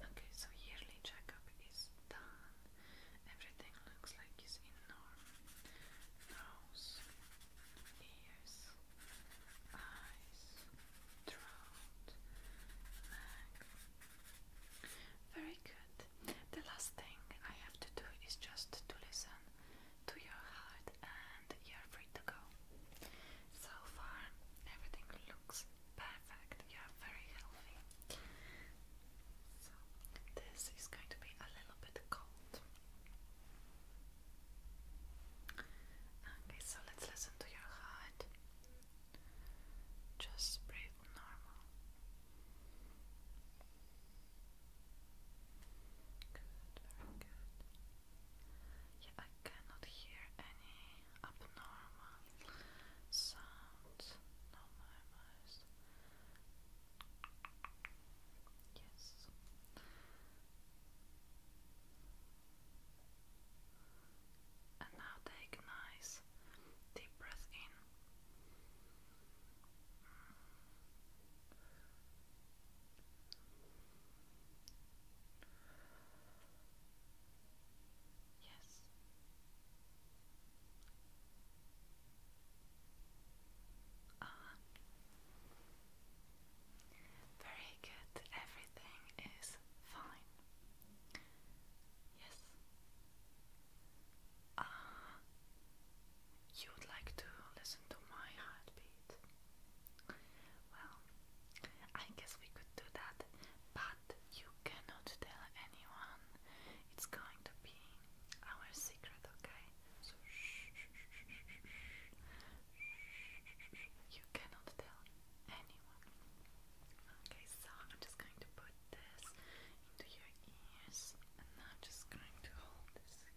Okay, so yearly checkup is done. Everything looks like it's in norm. Nose, ears, eyes, throat, Very good. The last thing I have to do is just to listen to your heart and you're free to go. So far, everything looks perfect. You're very healthy. So, this is going to be a little bit cold. Okay, so let's listen to your heart. Just breathe normal. Good, very good. Yeah, I cannot hear any abnormal sounds. No, my eyes. Yes. And now take a nice deep breath in. Yes. Uh Very good. Everything is fine. Yes. Ah, you would like to listen to my heartbeat. Well, I guess we could do that, but you cannot tell anyone. It's going to be our secret, okay? So shh, shh, shh, shh, shh, shh, shh. you cannot tell anyone. Okay, so I'm just going to put this into your ears, and I'm just going to hold this here.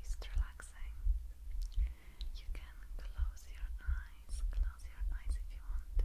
It's relaxing. You can close your eyes, close your eyes if you want to.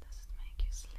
Does it make you sleepy?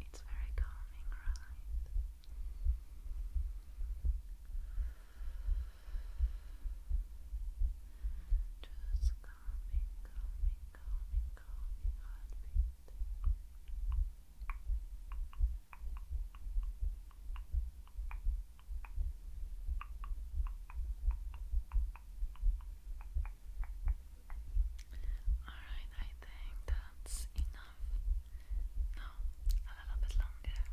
It's very calming, right? Just calming, calming, calming, calming heartbeat. Alright, I think that's enough. No, a little bit longer. Enough.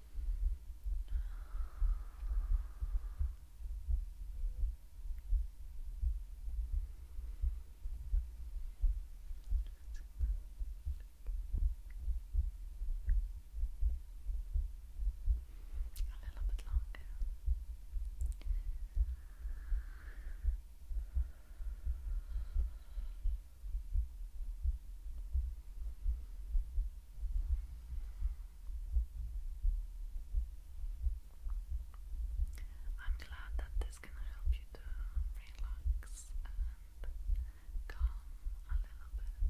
A little bit longer. I'm glad that this can help you to relax and calm a little bit.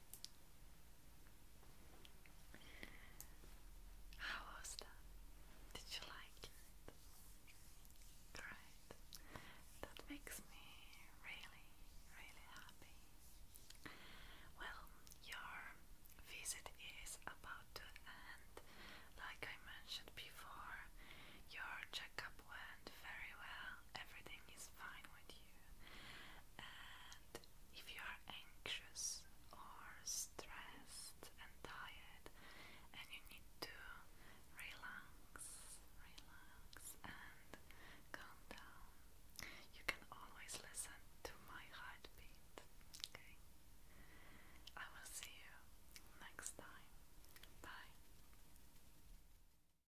how was that? Did you like it? Great. That makes me really, really happy. Well, your visit is about to end. Like I mentioned before, your checkup went very well. Everything is fine and if you are anxious or stressed and tired, and you need to relax, relax, and calm down, you can always listen to my heartbeat. Okay? I will see you next time. Bye.